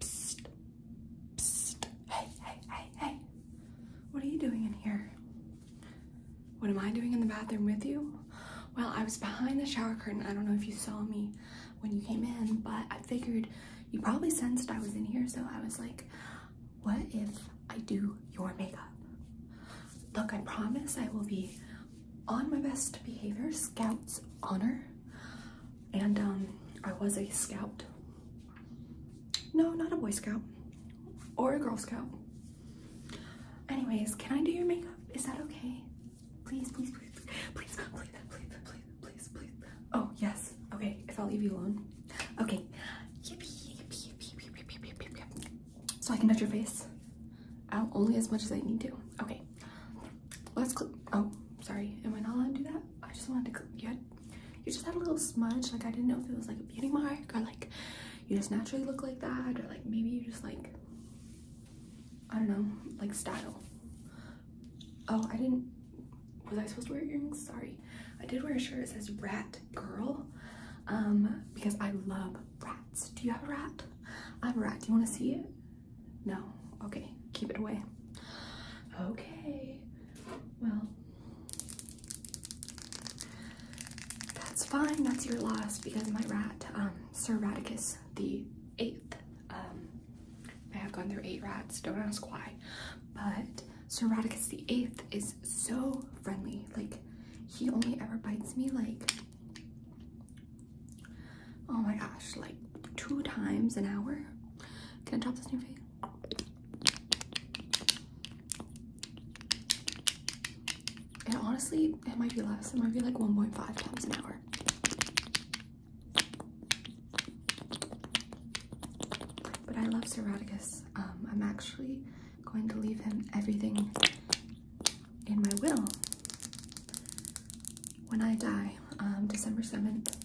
Hey, hey, hey, hey. What are you doing in here? What am I doing in the bathroom with you? Well, I was behind the shower curtain. I don't know if you saw me when you came in, but I figured you probably sensed I was in here, so I was like, what if I do your makeup? Look, I promise I will be on my best behavior, scouts honor and um, I was a scout. No, not a Boy Scout or a Girl Scout. Anyways, can I do your makeup? Is that okay? Please, please, please, please, please, please, please, please, please, Oh, yes. Okay, if I'll leave you alone. Okay. So I can touch your face. I'll only as much as I need to. Okay. Let's click. Oh, sorry. Am I not allowed to do that? I just wanted to. You had, you just had a little smudge. Like I didn't know if it was like a beauty mark or like you just naturally look like that or like maybe you just like I don't know, like style. Oh, I didn't. Was I supposed to wear earrings? Sorry. I did wear a shirt. It says "Rat Girl," um, because I love rats. Do you have a rat? I have a rat. Do you want to see it? No. Okay, keep it away. Okay. Well, that's fine. That's your loss because my rat, um, Sir Radicus the Eighth. Um, I have gone through eight rats. Don't ask why. But Sir Radicus the Eighth is so friendly. Like, he only ever bites me like Oh my gosh, like two times an hour. Can I drop this new your And honestly, it might be less. It might be like 1.5 times an hour. But I love Sir um, I'm actually going to leave him everything in my will when I die, um, December 7th,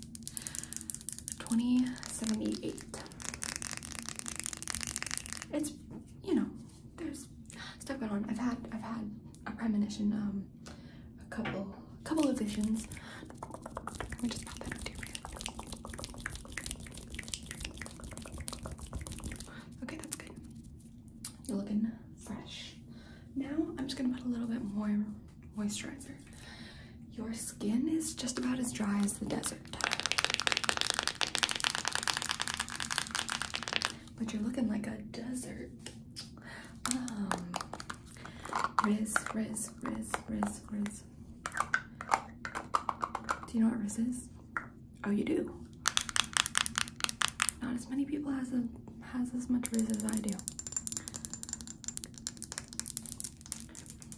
2078. It's, you know, there's stuff going on. I've had, I've had a premonition, um, a couple, a couple of visions. Okay, that's good. You're looking fresh. Now I'm just gonna put a little bit more moisturizer. Your skin is just about as dry as the desert. But you're looking like a desert. Um, riz, Riz, Riz, Riz, Riz. Do you know what Riz is? Oh, you do. Not as many people has a, has as much Riz as I do.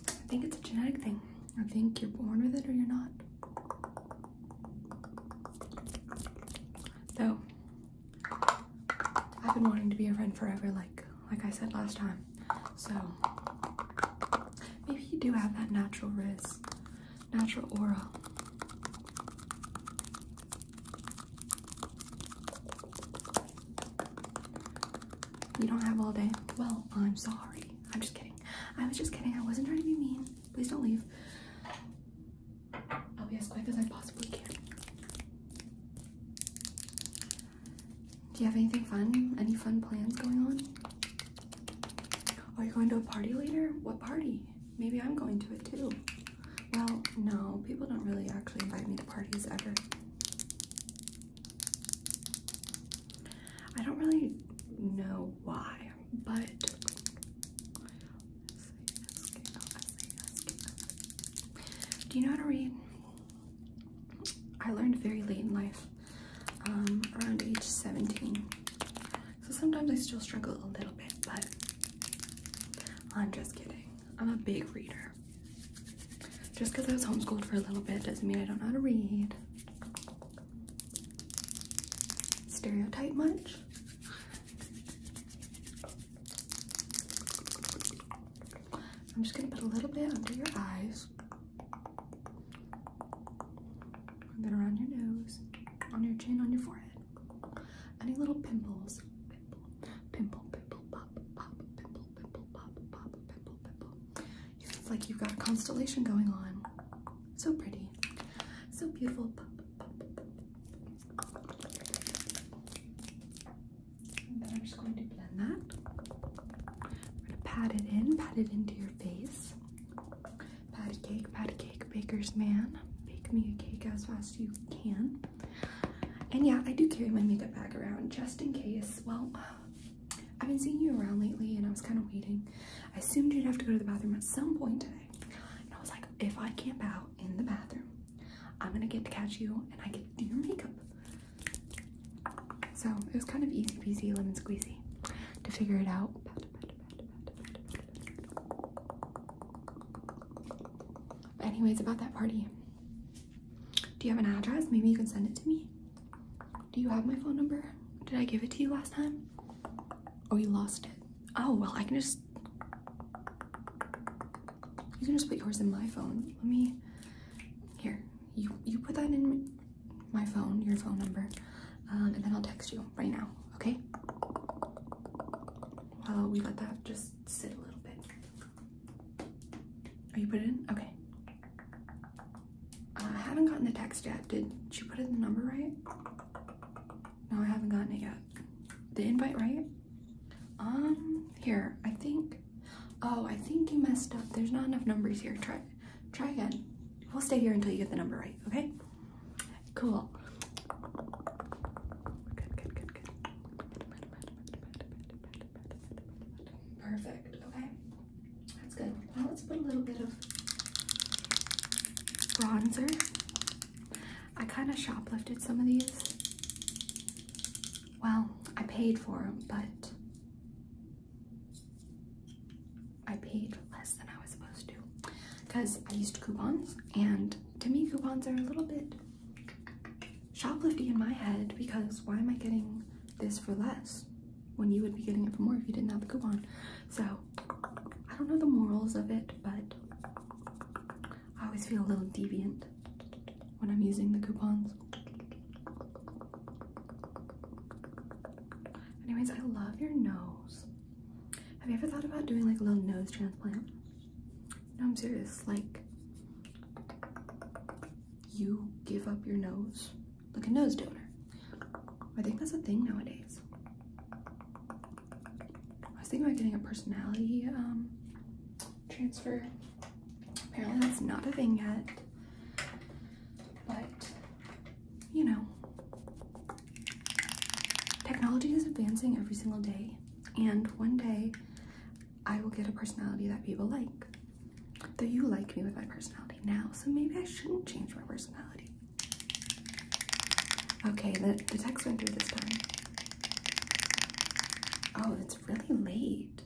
I think it's a genetic thing. I think you're born with it or you're not. So, I've been wanting to be a friend forever, like like I said last time. So maybe you do have that natural risk, natural aura. You don't have all day? Well, I'm sorry. I'm just kidding. I was just kidding. I wasn't trying to be mean. Please don't leave. I'll be as quick as I possibly can. Do you have anything fun? Any fun plans going on? Are you going to a party later? What party? Maybe I'm going to it too. Well, no, people don't really actually invite me to parties ever. I don't really know why, but do you know how to read? I learned very late in life, um, around age 17. So sometimes I still struggle a little bit, but I'm just kidding. I'm a big reader. Just because I was homeschooled for a little bit doesn't mean I don't know how to read. Stereotype much? I'm just gonna put a little bit under your eyes. And then around your nose, on your chin, on your forehead. Any little pimples pimple, pimple, pimple, pop, pop, pimple, pimple, pop, pop, pimple, pimple. it's like you've got a constellation going on. So pretty, so beautiful. then I'm just going to blend that. I'm gonna pat it in, pat it into your face. Patty cake, patty cake, baker's man. Bake me a cake as fast you can. And yeah, I do carry my makeup bag around just in case. Well, I've been seeing you around lately and I was kind of waiting. I assumed you'd have to go to the bathroom at some point today. And I was like, if I camp out in the bathroom, I'm gonna get to catch you and I get to do your makeup. So it was kind of easy peasy lemon squeezy to figure it out. anyways, about that party. Do you have an address? Maybe you can send it to me. Do you have my phone number? Did I give it to you last time? Oh, you lost it. Oh, well, I can just... You can just put yours in my phone. Let me... Here, you, you put that in my phone, your phone number, um, and then I'll text you right now, okay? While we let that just sit a little bit. Are you put it in? Okay. I haven't gotten the text yet. Did you put in the number right? No, I haven't gotten it yet. The invite right? Um, here, I think. Oh, I think you messed up. There's not enough numbers here. Try, try again. We'll stay here until you get the number right, okay? Cool. Good, good, good, good. Perfect. Okay. That's good. Now let's put a little bit of bronzer. I kind of shoplifted some of these. Well, I paid for them, but I paid less than I was supposed to because I used coupons, and to me, coupons are a little bit shoplifting in my head because why am I getting this for less when you would be getting it for more if you didn't have the coupon? So I don't know the morals of it, but I always feel a little deviant when I'm using the coupons. Anyways, I love your nose. Have you ever thought about doing like a little nose transplant? No, I'm serious. Like, you give up your nose like a nose donor. I think that's a thing nowadays. I was thinking about getting a personality um, transfer. Apparently, that's not a thing yet. But, you know, technology is advancing every single day. And one day, I will get a personality that people like. Though you like me with my personality now, so maybe I shouldn't change my personality. Okay, the, the text went through this time. Oh, it's really late.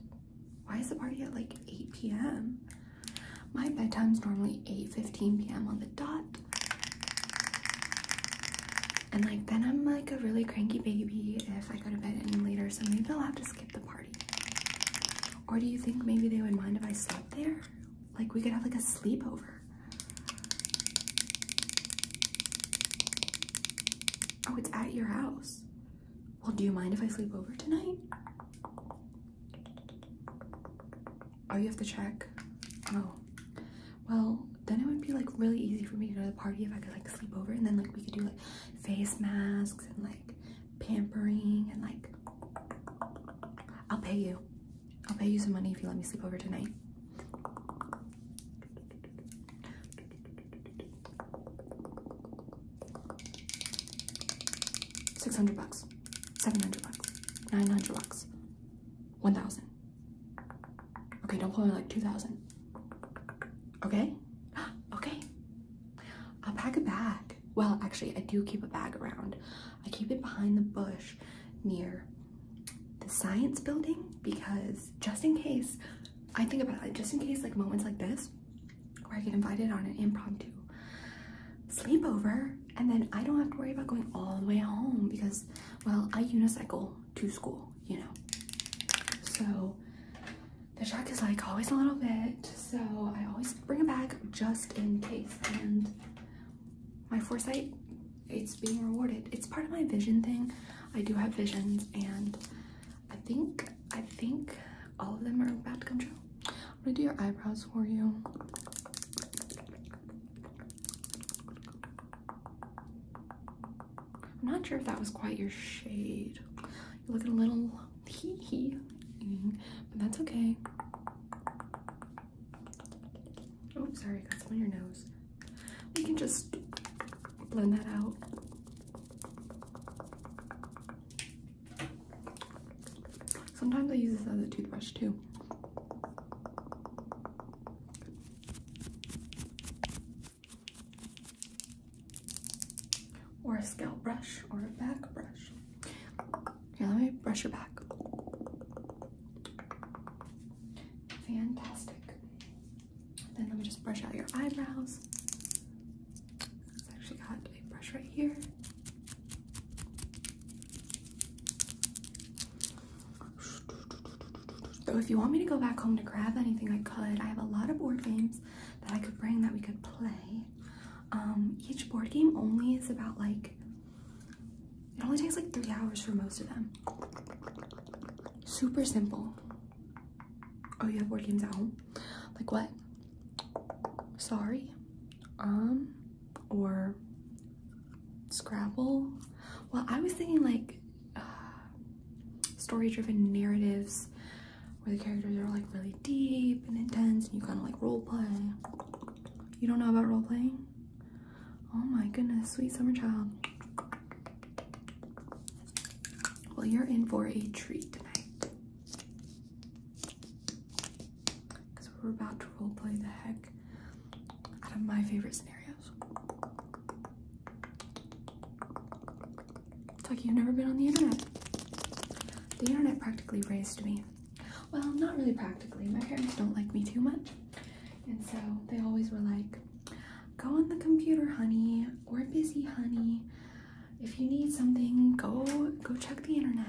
Why is the party at like 8 p.m.? My bedtime's normally 8.15 p.m. on the dot. And like then I'm like a really cranky baby if I go to bed any later, so maybe i will have to skip the party. Or do you think maybe they would mind if I slept there? Like we could have like a sleepover. Oh, it's at your house. Well, do you mind if I sleep over tonight? Oh, you have to check. Oh. Well, then it would be like really easy for me to go to the party if I could like sleep over and then like we could do like face masks and like pampering and like I'll pay you. I'll pay you some money if you let me sleep over tonight. Six hundred bucks, seven hundred bucks, nine hundred bucks, one thousand. Okay, don't pull me like two thousand. Okay? Okay. I'll pack a bag. Well, actually, I do keep a bag around. I keep it behind the bush near the science building because just in case, I think about it, just in case like moments like this where I get invited on an impromptu sleepover and then I don't have to worry about going all the way home because, well, I unicycle to school, you know. So the shark is like always a little bit, so I always bring a bag just in case. And my foresight, it's being rewarded. It's part of my vision thing. I do have visions, and I think I think all of them are about to come true. I'm gonna do your eyebrows for you. I'm not sure if that was quite your shade. You're looking a little hee mm-hmm, but that's okay. Oh, sorry, got some on your nose. We can just blend that out. Sometimes I use this as a toothbrush too or a scalp brush or a back brush. Here, let me brush your back. Fantastic. Then let me just brush out your eyebrows. i actually got a brush right here. So if you want me to go back home to grab anything, I could. I have a lot of board games that I could bring that we could play. Um, each board game only is about like it only takes like three hours for most of them. Super simple. Oh, you have board games at home? Like what? Sorry. Um, or Scrabble. Well, I was thinking like uh, story-driven narratives where the characters are like really deep and intense and you kind of like role play. You don't know about role playing? Oh my goodness, sweet summer child. Well, you're in for a treat tonight. Because we're about to role play the heck out of my favorite scenarios. It's like you've never been on the internet. The internet practically raised me. Well, not really practically. My parents don't like me too much. And so they always were like, go on the computer, honey. We're busy, honey. If you need something, go go check the internet.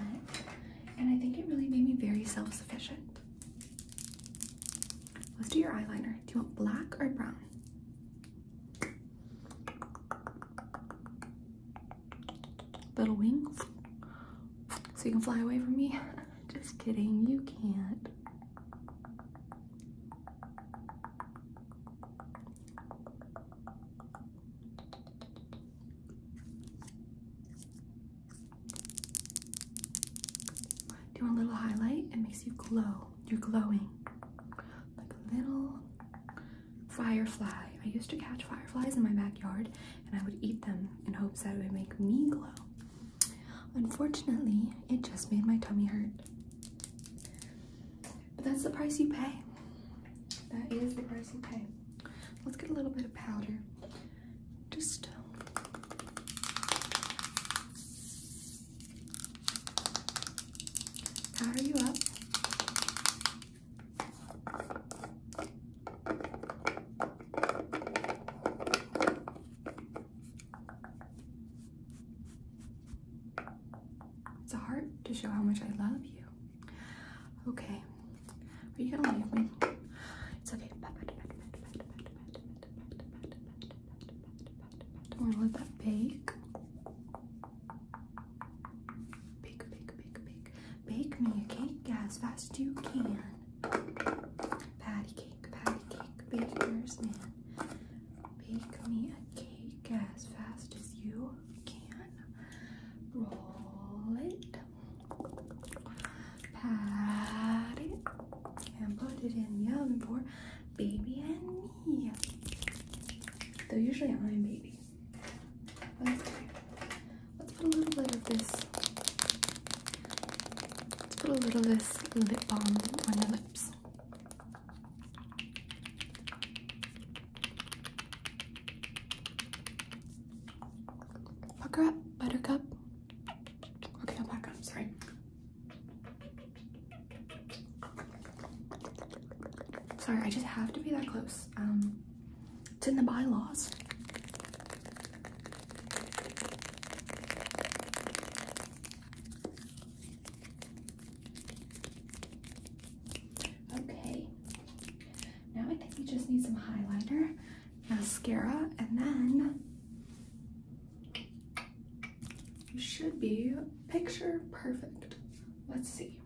And I think it really made me very self-sufficient. Let's do your eyeliner. Do you want black or brown? Little wings, So you can fly away from me. Just kidding, you can't. Do a little highlight? It makes you glow. You're glowing like a little firefly. I used to catch fireflies in my backyard and I would eat them in hopes that it would make me glow. Unfortunately, it just made my tummy hurt. But that's the price you pay. That is the price you pay. Let's get a little bit of powder. Just Power you up. It's a heart to show how much I love you. Okay. Are you gonna leave me? It's okay. Don't want to let that bake. Bake, bake, bake, bake. Bake me a cake as fast as you can. Patty cake, patty cake, baker's man. Bake me a cake as fast as you can. Roll it. Pat it. And put it in the oven for baby and yeah. They're usually on baby. Let's, let's put a little bit of this. Let's put a little this lip balm on your lips. Pucker up, buttercup. Okay, I'll back up, sorry. Sorry, I just have to be that close. Um, it's in the bylaws. Okay, now I think we just need some highlighter, mascara, and then you should be picture perfect. Let's see.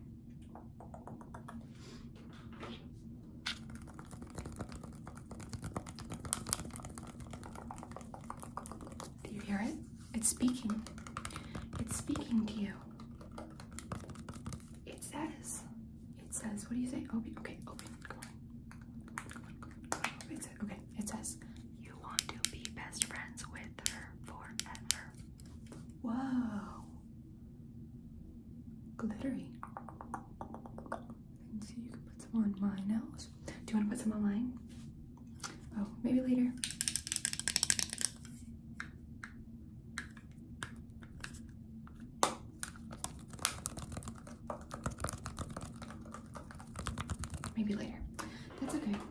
Do you hear it? It's speaking. It's speaking to you. It says, it says, what do you say? Open, okay, open, okay, it says, you want to be best friends with her forever. Wow. Glittery. And you can put some on my nose. Do you want to put some on mine? Oh, maybe later. Maybe later. That's okay.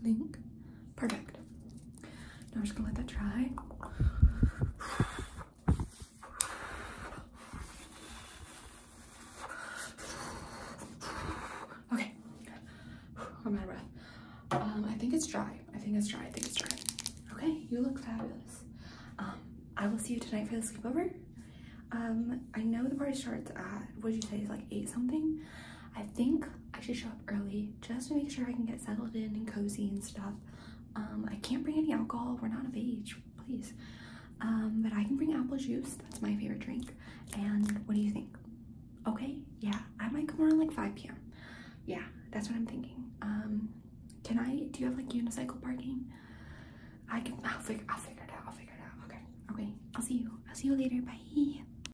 blink. Perfect. Now we're just gonna let that dry. Okay, I'm out of breath. Um, I think it's dry. I think it's dry. I think it's dry. Okay, you look fabulous. Um, I will see you tonight for the sleepover. Um, I know the party starts at what did you say, like eight something. I think I should show up early just to make sure I can get settled in and cozy and stuff. Um, I can't bring any alcohol. We're not of age, please. Um, but I can bring apple juice. That's my favorite drink. And what do you think? Okay, yeah, I might come around like 5 p.m. Yeah, that's what I'm thinking. Um, can I, do you have like unicycle parking? I can, I'll figure, I'll figure it out. I'll figure it out. Okay, okay. I'll see you. I'll see you later. Bye.